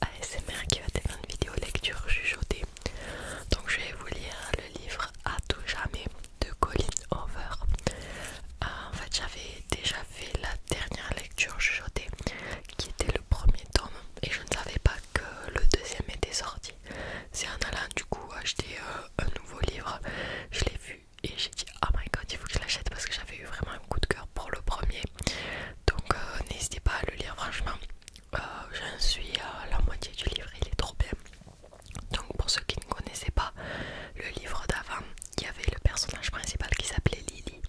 ASMR qui va être une vidéo lecture chuchotée. Donc je vais vous lire le livre À tout jamais de Colin Hoover. Euh, en fait j'avais déjà fait la dernière lecture chuchotée qui était le premier tome et je ne savais pas que le deuxième était sorti. C'est en allant du coup acheter euh, un nouveau livre, je l'ai vu et j'ai dit oh my god il faut que je l'achète parce que j'avais eu vraiment un coup de cœur pour le premier donc euh, n'hésitez pas à le lire franchement euh, j'en suis à la moitié du livre il est trop bien donc pour ceux qui ne connaissaient pas le livre d'avant il y avait le personnage principal qui s'appelait Lily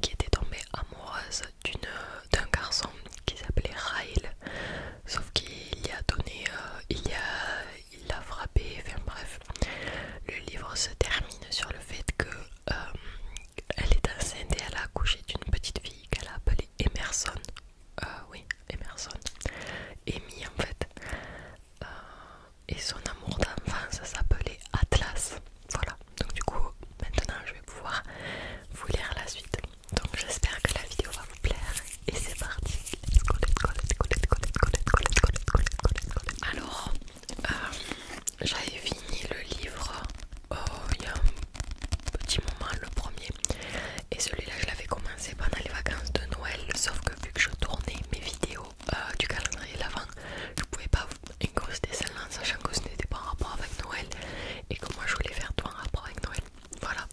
qui était tombée amoureuse d'un garçon qui s'appelait Rail sauf qu'il y a donné euh, il l'a frappé enfin bref le livre se termine sur le fait que elle est enceinte et elle a accouché d'une petite fille qu'elle a appelée Emerson. Euh, oui, Emerson. Amy en fait. Euh, et son amour d'enfance s'appelait Atlas. Voilà, donc du coup, maintenant je vais pouvoir vous lire la suite. Donc j'espère que la vidéo va vous plaire. Et c'est parti. Alors, euh, j'avais fini le livre oh, il y a un petit moment, le premier, et celui-là je l'avais commencé pendant les vacances de Noël, sauf que vu que je tournais mes vidéos euh, du calendrier l'avant, je pouvais pas vous incruster celle-là sachant que ce n'était pas en rapport avec Noël et que moi je voulais faire tout en rapport avec Noël. Voilà,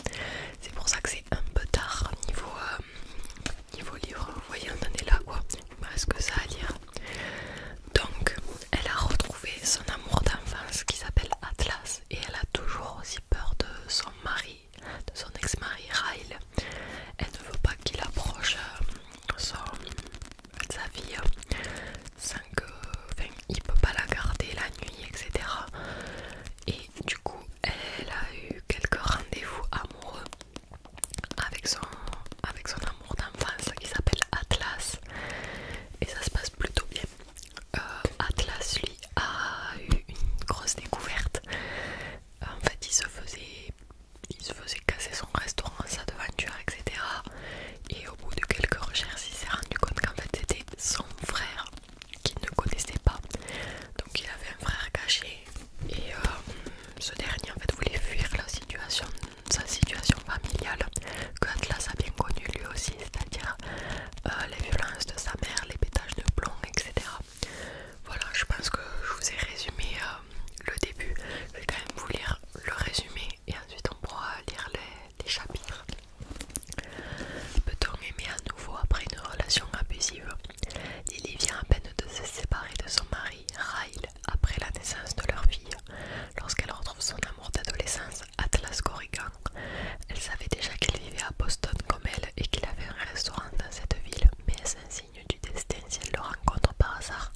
c'est pour ça que c'est un peu tard niveau, euh, niveau livre, vous voyez on en est là quoi, il me que ça à lire. Donc elle a retrouvé son amour d'enfance qui s'appelle Atlas et elle a toujours aussi peur de son mari, de son ex-mari Ryle. Elle ne veut pas qu'il approche euh, sa fille sans que. Enfin, il peut pas la garder la nuit, etc. Et du coup, elle a eu quelques rendez-vous amoureux avec son, avec son amour d'enfance qui s'appelle Atlas et ça se passe plutôt bien. Euh, Atlas lui a eu une grosse découverte. En fait, il se faisait, il se faisait casser son restaurant, sa devanture, etc. Et au bout de quelques recherches, il s'est rendu compte qu'en fait c'était son frère qu'il ne connaissait pas. Donc il avait un frère caché et euh, ce dernier en fait voulait fuir la situation sa situation familiale que Atlas a bien connu lui aussi, c'est-à-dire euh, les violences de sa mère, les pétages de plomb, etc. Voilà, je pense que je vous ai résumé euh, le début. Je vais quand même vous lire le résumé et ensuite on pourra lire les, chapitres. Peut-on aimer à nouveau après une relation abusive y vient à peine de se séparer de son mari, Ryle après la naissance de leur fille. Lorsqu'elle retrouve son amour d'adolescence, Atlas Corrigan, elle savait déjà qu'il vivait à Boston comme elle et qu'il avait un restaurant dans cette ville, mais c'est un signe du destin si elle le rencontre par hasard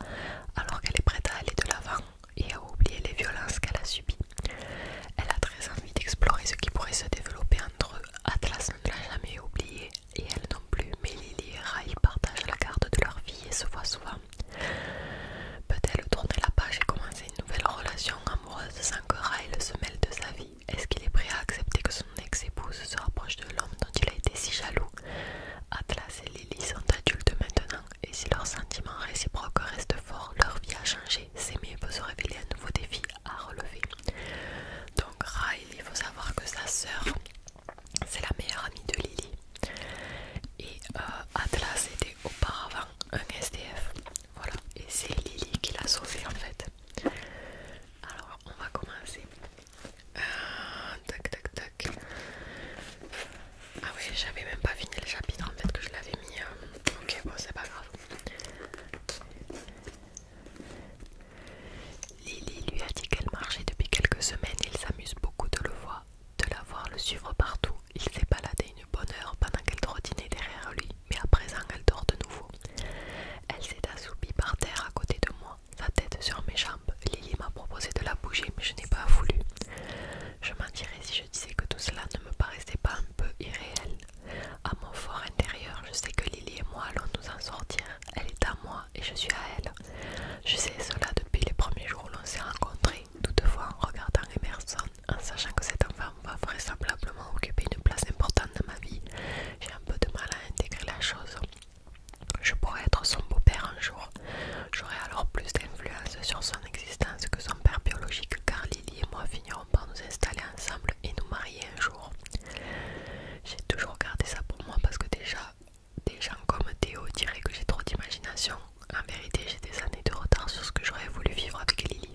alors qu'elle est prête à aller de l'avant et à oublier les violences qu'elle a subies Elle a très envie d'explorer ce qui pourrait se développer entre eux. Atlas ne l'a jamais oublié et elle non plus, mais Lily et Ray partagent la garde de leur fille et se voient souvent Peut-elle tourner la page et commencer une nouvelle relation amoureuse sans que Ryle se mêle de sa vie Est-ce qu'il est prêt à accepter que son ex-épouse se rapproche de l'homme dont il a été si jaloux Atlas et Lily sont adultes maintenant et si leurs sentiments réciproques restent forts, leur vie a changé. S'aimer peut se révéler un nouveau défi à relever. Donc Ryle, il faut savoir que sa sœur c'est la meilleure amie de Lily. Et euh, Atlas était auparavant un SDF. Voilà, et c'est Lily qui l'a sauvé en fait. Alors, on va commencer. Euh, ah oui, j'avais même pas fini le chapitre en fait que je l'avais mis. Euh, ok, bon, c'est pas grave. Lily lui a dit qu'elle marchait depuis quelques semaines, il s'amuse beaucoup de le voir, de la voir le suivre partout. Il s'est baladé une bonne heure pendant qu'elle trottinait derrière lui, mais à présent elle dort de nouveau. Elle s'est assoupie par terre à côté de moi, sa tête sur mes jambes. Lily m'a proposé de la bouger, mais je n'ai pas voulu. Je mentirais si je disais que tout cela ne me paraissait pas un peu irréel. À mon fort intérieur, je sais que Lily et moi allons nous en sortir. Elle est à moi et je suis à elle. Je sais cela depuis les premiers jours où l'on s'est rencontrés, toutefois en regardant Emerson, en sachant que cet enfant va vraisemblablement occuper une place importante dans ma vie, j'ai un peu de mal à intégrer la chose. Je pourrais être son beau-père un jour. J'aurais alors plus d'influence sur son existence que son père biologique car Lily et moi finirons par nous installer ensemble et nous marier un jour. J'ai toujours gardé ça pour moi parce que déjà, des gens comme Théo diraient que j'ai trop d'imagination. En vérité, j'ai des années de retard sur ce que j'aurais voulu vivre avec Lily.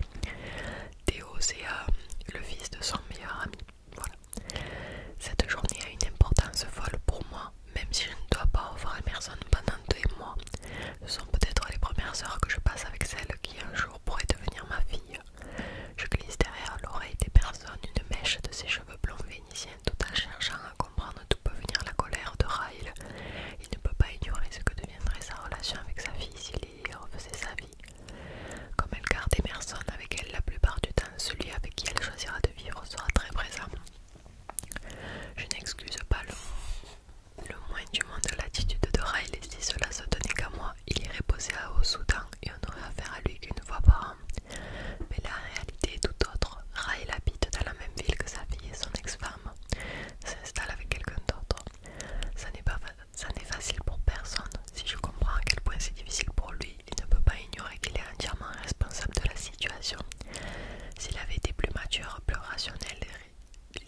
Théo, c'est euh, le fils de son meilleur ami. Cette journée a une importance folle pour moi, même si je ne dois pas revoir personne pendant deux mois. Ce sont peut-être les premières heures que je passe avec celle qui un jour pourrait devenir ma fille. Je glisse derrière l'oreille des personnes une mèche de ses cheveux blonds vénitiens tout en cherchant à comprendre d'où peut venir la colère de Rail, il ne peut pas ignorer ce que deviendrait sa relation avec sa fille s'il y refaisait sa vie. Comme elle garde Emerson avec elle la plupart du temps, celui avec qui elle choisira de vivre sera très présent. Je n'excuse pas le, moins du monde l'attitude de Rail, et si cela se tenait qu'à moi, il irait poser au Soudan et on n'aurait affaire à lui qu'une fois par an. Mais la réalité est tout autre. Raël habite dans la même ville que sa fille et son ex-femme s'installe avec quelqu'un d'autre. Ça n'est pas ça n'est facile pour personne. Si je comprends à quel point c'est difficile pour lui, il ne peut pas ignorer qu'il est entièrement responsable de la situation. S'il avait été plus mature, plus rationnel,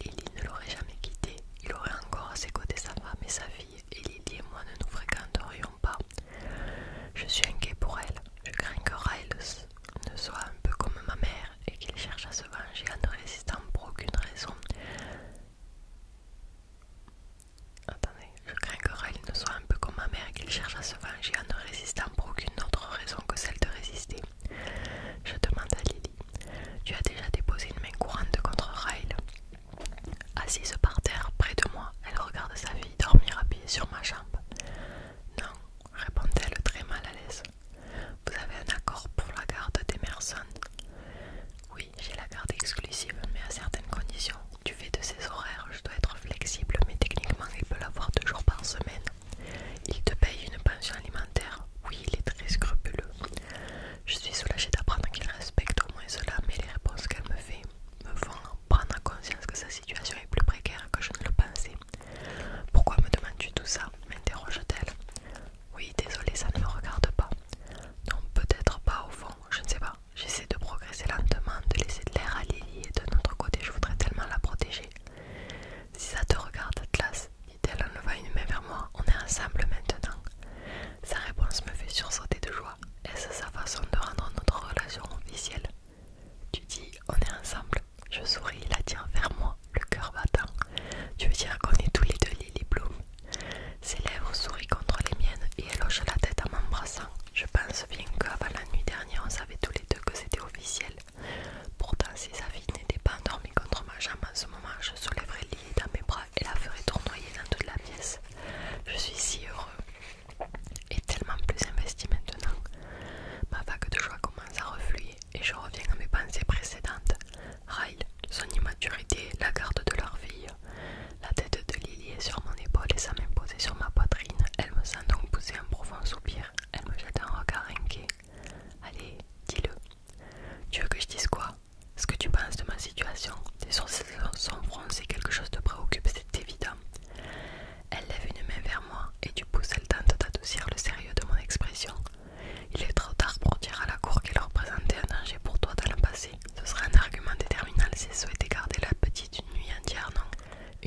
Lily ne l'aurait jamais quitté. Il aurait encore à ses côtés sa femme et sa fille, et Lily et moi ne nous fréquenterions je suis inquiet pour elle. Je crains que Ryle ne soit un peu comme ma mère et qu'il cherche à se venger en ne résistant pour aucune raison. Attendez, je crains que Rail ne soit un peu comme ma mère et qu'il cherche à se venger en ne résistant pour aucune autre raison que celle de résister. Je demande à Lily Tu as déjà déposé une main courante contre Rail Assise par terre près de moi, elle regarde sa fille dormir à pied sur ma jambe. Non, répond elle très mal à l'aise. Vous avez un accord pour la garde d'Emerson Oui, j'ai la garde exclusive, mais à certaines conditions. Du fait de ses horaires, je dois être flexible, mais techniquement, il peut l'avoir deux jours par semaine. Il te paye une pension alimentaire. Oui, il est très scrupuleux. Je suis soulagée d'apprendre qu'il respecte au moins cela, mais les réponses qu'elle me fait me font prendre conscience que sa situation est plus précaire que je ne le pensais. Pourquoi me demandes-tu tout ça m'interroge-t-elle. Oui, désolé, ça ne me regarde pas. Non, peut-être pas au fond, je ne sais pas. J'essaie de progresser lentement, de laisser de l'air à Lily et de notre côté, je voudrais tellement la protéger. Si ça te regarde, Atlas, dit-elle en levant une main vers moi, on est ensemble maintenant. Sa réponse me fait sursauter de joie. Est-ce sa façon de rendre notre relation officielle tu dis on est ensemble, je souris, il tient vers moi, le cœur battant. Tu veux dire qu'on est tous les deux Lily Bloom Ses lèvres sourient contre les miennes et elle hoche la tête en m'embrassant. Je pense bien qu'avant la nuit dernière, on savait tous les deux que c'était officiel. Pourtant, si sa fille n'était pas endormie contre ma jambe en ce moment, je soulèverais Lily dans mes bras et la ferais tournoyer dans toute la pièce. Je suis si heureux est tellement plus investi maintenant. Ma vague de joie commence à refluer et je reviens à mes pensées précédentes. Ryle, son immaturité, la garde de leur fille. La tête de Lily est sur mon épaule et ça main sur ma poitrine. Elle me sent donc pousser un profond soupir. Elle me jette un regard inquiet. Allez, dis-le. Tu veux que je dise quoi Ce que tu penses de ma situation Tes sourcils sont froncés, quelque chose te préoccupe, c'est évident. Elle lève une main vers moi et du pouce elle tente d'adoucir le sérieux de mon expression. Il est trop tard pour dire à la cour qu'elle représentait un danger pour toi dans le passé. Ce serait un argument déterminant si souhaitait garder la petite une nuit entière, non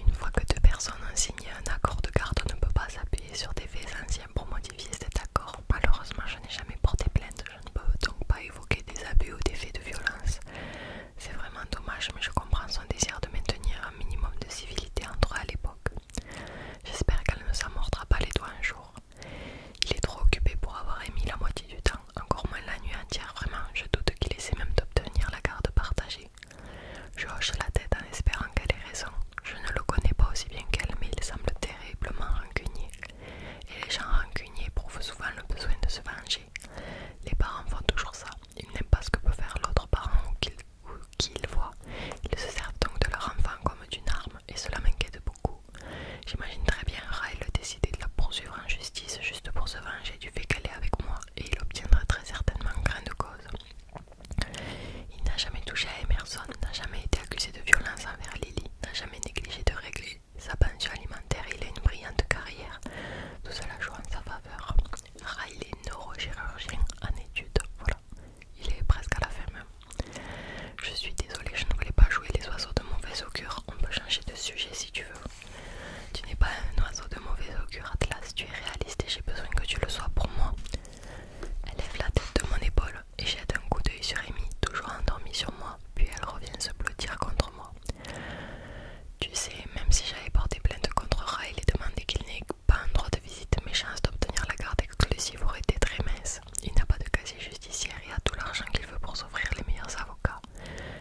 Une fois que deux personnes ont signé un accord de garde, on ne peut pas s'appuyer sur des faits anciens pour modifier cet accord. Malheureusement, je n'ai jamais porté plainte, je ne peux donc pas évoquer des abus ou des faits de violence. C'est vraiment dommage, mais je comprends son désir de maintenir un minimum de civilité entre eux à l'époque. J'espère qu'elle ne s'amordra pas les doigts un jour. Il est trop occupé pour avoir émis la moitié du temps, encore moins la nuit entière, vraiment, je doute qu'il essaie même d'obtenir la garde partagée. Je hoche la tête en espérant qu'elle ait raison. Je ne le connais pas aussi bien qu'elle, mais il semble terriblement rancunier. Et les gens rancuniers éprouvent souvent le besoin de se venger. Les parents font toujours ça. Ils n'aiment pas ce que peut faire l'autre parent ou voient. Ils se servent donc de leur enfant comme d'une arme et cela m'inquiète beaucoup. J'imagine très bien a décidé de la poursuivre en justice juste pour se venger du fait qu'elle est avec moi et il obtiendra très certainement grain de cause. Il n'a jamais touché à Emerson, n'a jamais été accusé de violence envers Lily, n'a jamais négligé de régler sa pension alimentaire, il a une brillante carrière, tout cela joue en sa faveur. est neurochirurgien en études, voilà, il est presque à la ferme. Je suis désolée, je ne voulais pas jouer les oiseaux de mauvaise augure, on peut changer de sujet si tu veux. Tu n'es pas un oiseau de mauvaise augure, Atlas, tu es réaliste et j'ai besoin que tu le sois pour moi. Elle lève la tête de mon épaule et jette un coup d'œil sur Amy, toujours endormie sur moi, puis elle revient se blottir contre moi. Tu sais, même si j'avais porté plainte contre Rail, et demandé qu'il n'ait pas un droit de visite, mes chances d'obtenir la garde exclusive auraient été très minces. Il n'a pas de casier judiciaire et a tout l'argent qu'il veut pour s'offrir les meilleurs avocats.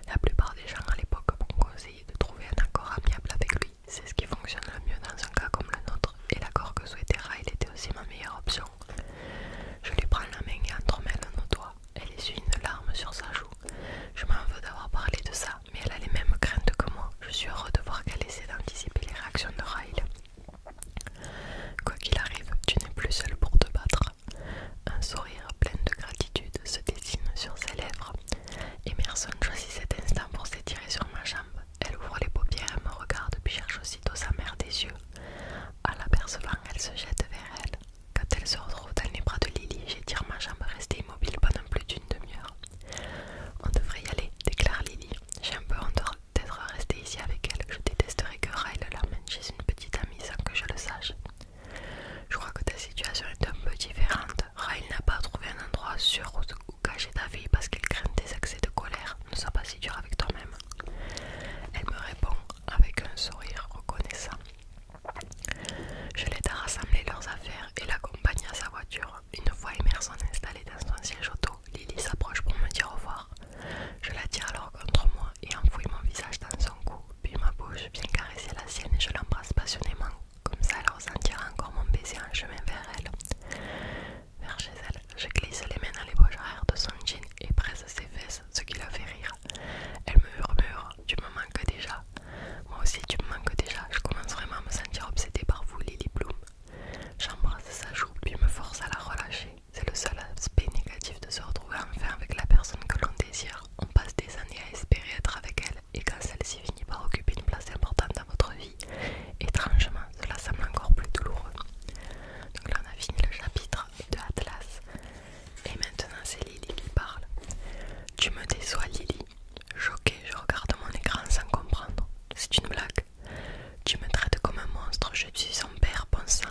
La plupart des gens à l'époque m'ont conseillé de trouver un accord amiable avec lui. C'est ce qui fonctionne le mieux dans un cas comme le nôtre, et l'accord que souhaitait était aussi ma meilleure option. Je lui prends la main et dans nos doigts. Elle essuie une larme sur sa joue. Je m'en veux d'avoir parlé de ça, mais elle a les mêmes craintes que moi. Je suis heureux de voir qu'elle essaie d'anticiper les réactions de Ryle. Quoi qu'il arrive, tu n'es plus seul pour te battre. Un sourire plein de gratitude se dessine sur ses lèvres. Emerson choisit cet instant pour s'étirer sur ma jambe. Elle ouvre les paupières et me regarde puis cherche aussitôt sa mère des yeux. En l'apercevant, elle se jette vers elle. Quand elle se retrouve dans les bras de Lily, j'ai j'étire ma jambe restée immobile pendant plus d'une demi-heure. On devrait y aller, déclare Lily. J'ai un peu honte d'être restée ici avec elle. Je détesterais que Ryle l'emmène chez une petite amie sans que je le sache. Je crois que ta situation est un peu différente. Ryle n'a pas trouvé un endroit sûr où cacher ta vie parce qu'elle craint des accès de colère. Ne sois pas si dur avec toi-même. Elle me répond avec un sourire reconnaissant. Je l'aide à rassembler leurs affaires et l'accompagne à sa voiture. Une fois Emerson installée dans son siège auto, Lily s'approche pour me dire au revoir. Je la tire alors contre moi et enfouis mon visage dans son cou, puis ma bouche vient caresser la sienne et je l'embrasse passionnément. Comme ça, elle ressentira encore mon baiser en chemin vers elle. Vers chez elle, je glisse les mains dans les poches arrière de son jean et presse ses fesses ce qui la fait rire. Elle me murmure Tu me manques déjà. Moi aussi, tu me manques déjà. Je commence vraiment à me sentir obsédée par vous, Lily Bloom. J'embrasse sa joue, puis me force à la relâcher. C'est le seul aspect négatif de se retrouver enfin avec la personne que l'on désire. On passe des années à espérer être avec elle, et quand celle-ci finit par occuper une place importante dans votre vie, étrangement, cela semble encore plus douloureux. Donc là, on a fini le chapitre de Atlas. Et maintenant c'est Lily qui parle. Tu me déçois Lily. Choquée, je regarde mon écran sans comprendre. C'est une blague. Tu me traites comme un monstre, je suis son père pensant.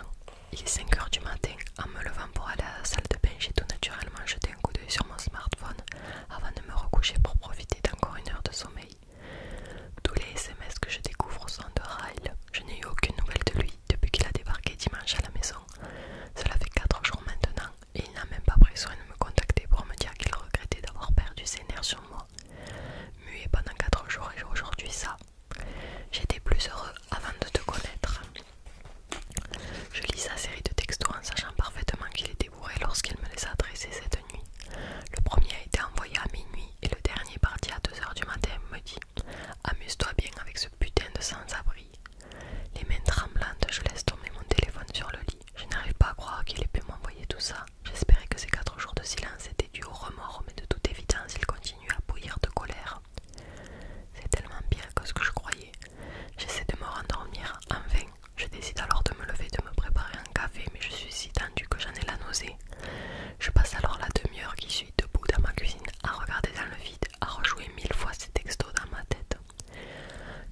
Il est 5h du matin, en me levant pour aller à la salle de bain, j'ai tout naturellement jeté un coup d'œil sur mon smartphone avant de me recoucher pour profiter d'encore une heure de sommeil. Tous les SMS que je découvre sont de Ryle. Je n'ai eu aucune nouvelle de lui depuis qu'il a débarqué dimanche à la maison. Cela fait 4 jours maintenant et il n'a même pas pris soin de me contacter pour me dire qu'il regrettait d'avoir perdu ses nerfs sur moi. Muet pendant 4 jours et aujourd'hui ça. J'étais plus heureux avant de te connaître. Je lis sa série de textos en sachant parfaitement qu'il était bourré lorsqu'il me les a adressés cette nuit. Le premier a été envoyé à minuit et le dernier parti à 2h du matin me dit Amuse-toi bien avec ce putain de sans-abri. Les mains tremblantes, je laisse tomber mon téléphone sur le lit. Je n'arrive pas à croire qu'il ait pu m'envoyer tout ça. J'espérais que ces quatre jours de silence étaient dus au remords, mais de toute évidence, il continue à bouillir de colère. C'est tellement pire que ce que je croyais. J'essaie de me rendormir, vain. Je décide alors de me lever, de me préparer un café, mais je suis si tendue que j'en ai la nausée. Je passe alors la demi-heure qui suit debout dans ma cuisine à regarder dans le vide à rejouer mille fois ces textos dans ma tête.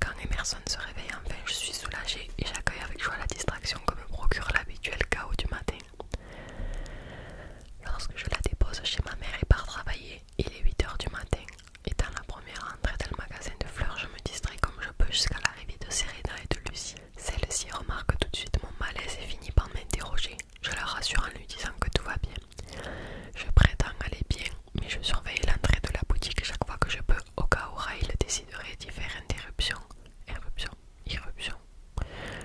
Quand Emerson se réveille enfin, je suis soulagée et j'accueille avec joie la distraction que me procure l'habituel chaos du matin. Lorsque je la dépose chez ma mère et pars travailler, il est 8h du matin. Et Étant la première entrée dans le magasin de fleurs, je me distrais comme je peux jusqu'à l'arrivée de Serena et de Lucie. Celle-ci remarque tout de suite mon malaise et finit par m'interroger. Je la rassure en lui disant que tout va bien. Je prétends aller bien, mais je surveille l'entrée de la boutique chaque fois que je peux, au cas où il déciderait d'y faire interruption. Éruption, irruption.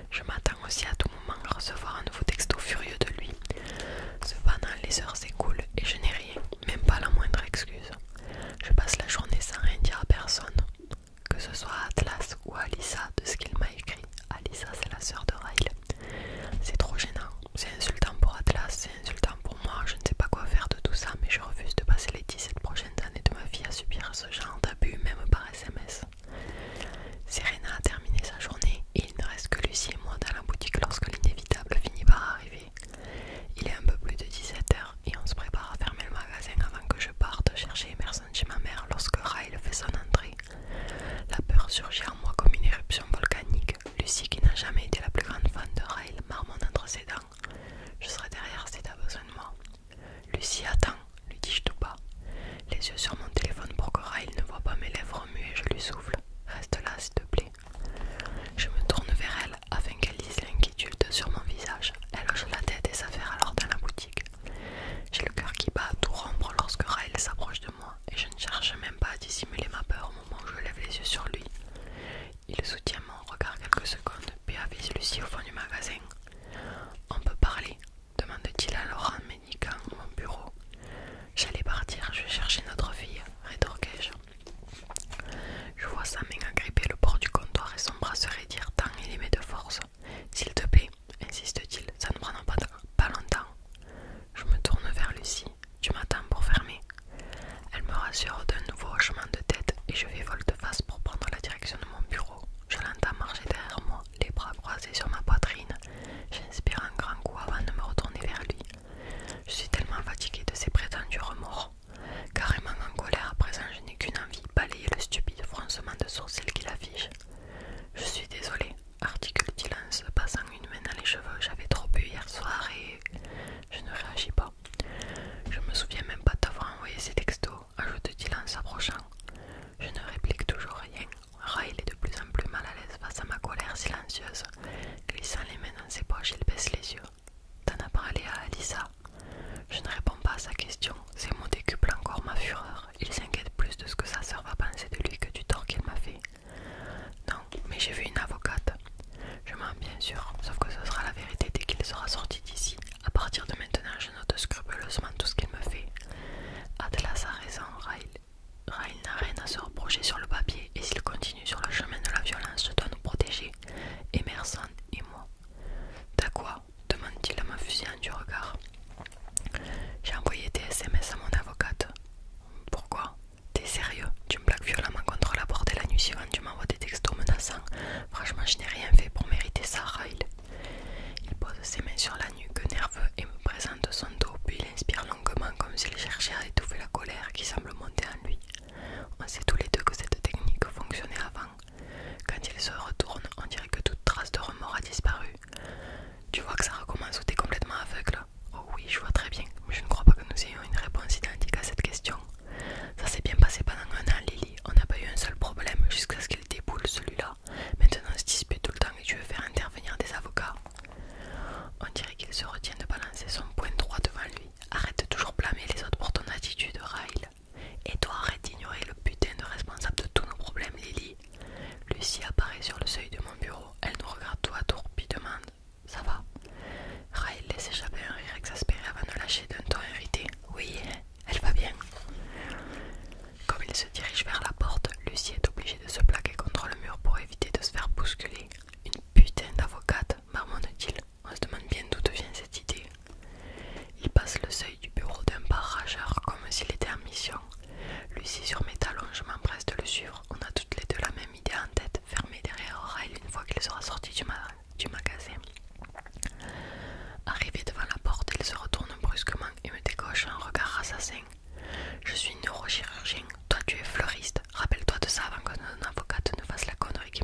Je m'attends aussi à tout moment à recevoir un nouveau texto furieux de lui. Cependant, les heures s'écoulent et je n'ai rien, même pas la moindre excuse. Je passe la journée sans rien dire à personne, que ce soit à Atlas ou à Lisa de ce qu'il m'a écrit. Alissa, c'est la sœur de Ryle C'est trop gênant. C'est insultant pour Atlas, c'est insultant pour moi. Je ne sais pas quoi faire de tout ça, mais je refuse de passer les 17 prochaines années de ma vie à subir ce genre d'abus, même par SMS. Serena a terminé sa journée et il ne reste que Lucie et moi dans la boutique lorsque l'inévitable finit par arriver. Il est un peu plus de 17h et on se prépare à fermer le magasin avant que je parte chercher Emerson chez ma mère lorsque Ryle fait son entrée. La peur surgit en moi comme une éruption volcanique. Lucie, qui n'a jamais été la plus grande fan de Rail, marmonne entre ses dents. Je serai derrière si t'as besoin de moi. Lucie, attends, lui dis-je tout bas. Les yeux sur mon téléphone pour que Rail ne voit pas mes lèvres mues je lui souffle. Reste là, s'il te plaît. Je me tourne vers elle afin qu'elle lise l'inquiétude sur mon visage. Elle hoche la tête et s'affaire alors dans la boutique. J'ai le cœur qui bat à tout rompre lorsque Rayle s'approche de moi et je ne cherche même pas à dissimuler ma peur au moment où je lève les yeux sur lui. Il soutient mon regard quelques secondes puis avise Lucie au fond du magasin. On peut parler demande-t-il alors en m'éniquant mon bureau. J'allais partir, je vais chercher notre fille, rétorquai-je. Je vois sa main agripper le bord du comptoir et son bras se raidir tant il aimait de force. S'il te plaît, insiste-t-il, ça ne prendra pas, longtemps. Je me tourne vers Lucie. Tu m'attends pour fermer. Elle me rassure d'un nouveau hochement de tête et je vais volte-face pour prendre la direction de mon bureau. Je l'entends marcher derrière moi, les bras croisés sur ma poitrine. J'inspire un grand coup avant de me retourner vers lui. Je suis tellement fatiguée de ses prétendus remords. Carrément en colère, à présent je n'ai qu'une envie, balayer le stupide froncement de sourcils qu'il affiche. Je suis désolée, Article Dylan se passant une main dans les cheveux. J'avais trop bu hier soir et je ne réagis pas. Je me souviens même pas d'avoir envoyé ces textos, ajoute Dylan s'approchant. Je ne réplique toujours rien. il est de plus en plus mal à l'aise face à ma colère silencieuse. Glissant les mains dans ses poches, il baisse les yeux. T'en as parlé à Alissa Je ne réponds pas à sa question. Ces mots décuplent encore ma fureur il s'inquiète plus de ce que sa sœur va penser de lui que du tort qu'il m'a fait. Non, mais j'ai vu une avocate. Je mens bien sûr, sauf que ce sera la vérité dès qu'il sera sorti d'ici. À partir de maintenant, je note scrupuleusement tout ce qu'il me fait. Adela a raison, Rail. n'a rien à se reprocher sur le papier et s'il continue sur le chemin de la violence, je dois nous protéger. Emerson et moi. T'as quoi demande-t-il à me fusillant du regard. J'ai envoyé des SMS à mon avocate. Pourquoi T'es sérieux Tu me plaques violemment contre la porte et la nuit suivante tu m'envoies des textos menaçants. Franchement, je n'ai rien fait pour mériter ça, Raïl. Il pose ses mains sur la nuque, nerveux, et me présente son dos, puis il inspire longuement comme s'il cherchait à étouffer la colère qui semble monter en lui. On sait tous les deux que cette technique fonctionnait avant. Quand il se retourne, on dirait que toute trace de remords a disparu. Tu vois que ça recommence ou t'es complètement aveugle Oh oui, je vois très bien, mais je ne crois pas que nous ayons une réponse identique à cette question. Ça s'est bien passé pendant un an, Lily. On n'a pas eu un seul problème jusqu'à ce qu'il déboule celui-là. Maintenant, on se dispute tout le temps et tu veux faire intervenir des avocats. On dirait qu'il se retient de balancer son point droit devant lui. Arrête de toujours blâmer les autres pour ton attitude, Ryle. Et toi, arrête d'ignorer le putain de responsable de tous nos problèmes, Lily. Lucie apparaît sur le seuil de mon bureau. Elle nous regarde tout à tour, puis demande Ça va Raël laisse échapper un rire exaspéré avant de lâcher d'un ton irrité Oui, elle va bien. Comme il se dirige vers la porte, Lucie est obligée de se plaquer contre le mur pour éviter de se faire bousculer. Une putain d'avocate, marmonne-t-il. On se demande bien d'où vient cette idée. Il passe le seuil du bureau d'un pas comme s'il était en mission lui Lucie sur mes talons, je m'empresse de le suivre. On a toutes les deux la même idée en tête, fermée derrière oreille une fois qu'il sera sorti du, magasin. Arrivé devant la porte, il se retourne brusquement et me décoche un regard assassin. Je suis neurochirurgien, toi tu es fleuriste. Rappelle-toi de ça avant que qu'un avocate ne fasse la connerie qui,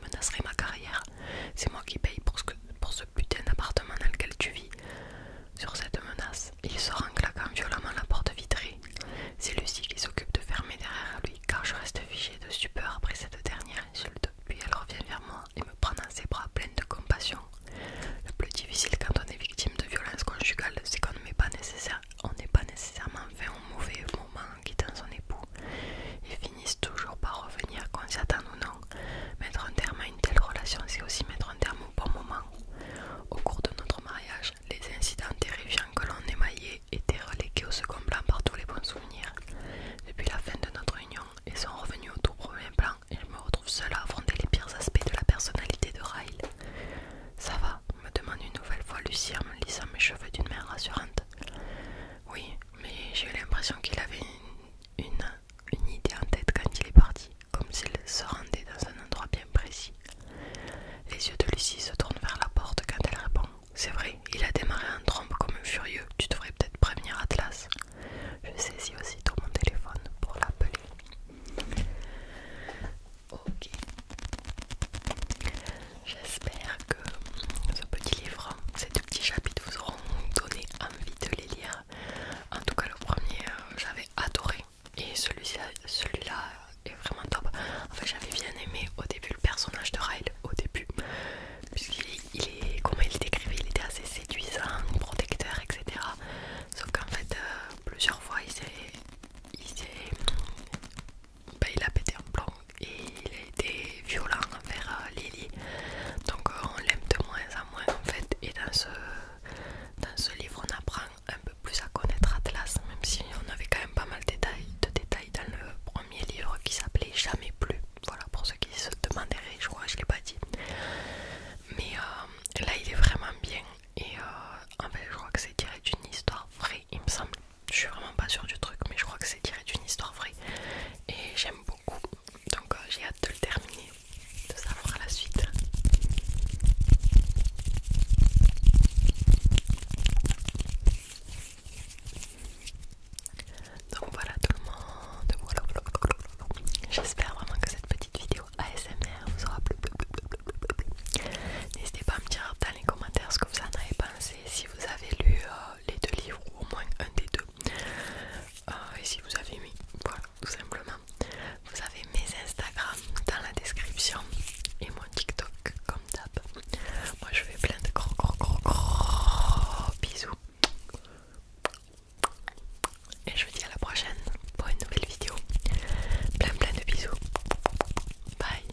menacerait ma carrière. C'est moi qui paye pour ce putain d'appartement dans lequel tu vis. Sur cette menace, il sort en claquant violemment la porte vitrée. C'est Lucie qui s'occupe de fermer derrière lui car je reste figée de stupeur après cette dernière insulte. Puis elle revient vers moi et me prend dans ses bras pleine de compassion. Le plus difficile quand on est victime de violences conjugales, c'est qu'on n'est pas, nécessairement fait au mauvais moment en quittant son époux. Ils finissent toujours par revenir qu'on s'y attend ou Mettre un terme à une telle relation, c'est aussi mettre un terme au bon moment. Au cours de notre mariage, les incidents terrifiants que l'on émaillait étaient relégués au second plan par tous les bons souvenirs. Depuis la fin de notre union, ils sont revenus au tout premier plan et je me retrouve seule à affronter les pires aspects de la personnalité de Ryle. Ça va, me demande une nouvelle fois Lucie en me lissant mes cheveux d'une main rassurante. Oui, mais j'ai l'impression qu'il avait une une idée en tête quand il est parti, comme s'il se rendait dans un endroit bien précis. Les yeux de Lucie se tournent vers la porte quand elle répond C'est vrai, il a démarré en trompe comme un furieux, tu devrais peut-être prévenir Atlas. Je saisis aussitôt mon téléphone pour l'appeler. Ok. J'espère que ce petit livre, ces deux petits chapitres vous auront donné envie de les lire en tout cas, le premier, euh, j'avais adoré. Et celui-là celui est vraiment top. En fait, j'avais bien aimé au début le personnage de Ryle, au début. Puisqu'il est, comment il décrivait, il était assez séduisant, protecteur, etc. Sauf qu'en fait, euh, plusieurs fois, il s'est. Il, ben, il a pété un plomb et il a été violent vers euh, Lily. Donc euh, on l'aime de moins en moins en fait. Et dans ce, dans ce livre on apprend un peu plus à connaître Atlas, même si on avait quand même pas mal de détails, de détails dans le premier livre qui s'appelait Jamais plus. Voilà pour ceux qui se demanderaient, je crois je l'ai pas dit. Mais euh, là il est vraiment bien. Et en fait je crois que c'est tiré d'une histoire vraie il me semble. Je suis vraiment pas sûre du truc mais je crois que c'est tiré d'une histoire vraie. Et j'aime beaucoup. Donc j'ai hâte de le terminer de savoir la suite. Donc voilà tout le monde, j'espère vraiment que cette petite vidéo ASMR vous aura plu. N'hésitez pas à me dire dans les commentaires ce que vous en avez pensé, si vous avez lu euh, les deux livres ou au moins un des deux. Ah, et si vous avez mis, voilà, tout simplement, vous avez mes Instagram dans la description et mon TikTok comme d'hab. Moi je fais plein de gros gros gros gros bisous. Et je vous dis à la prochaine pour une nouvelle vidéo. Plein plein de bisous. Bye.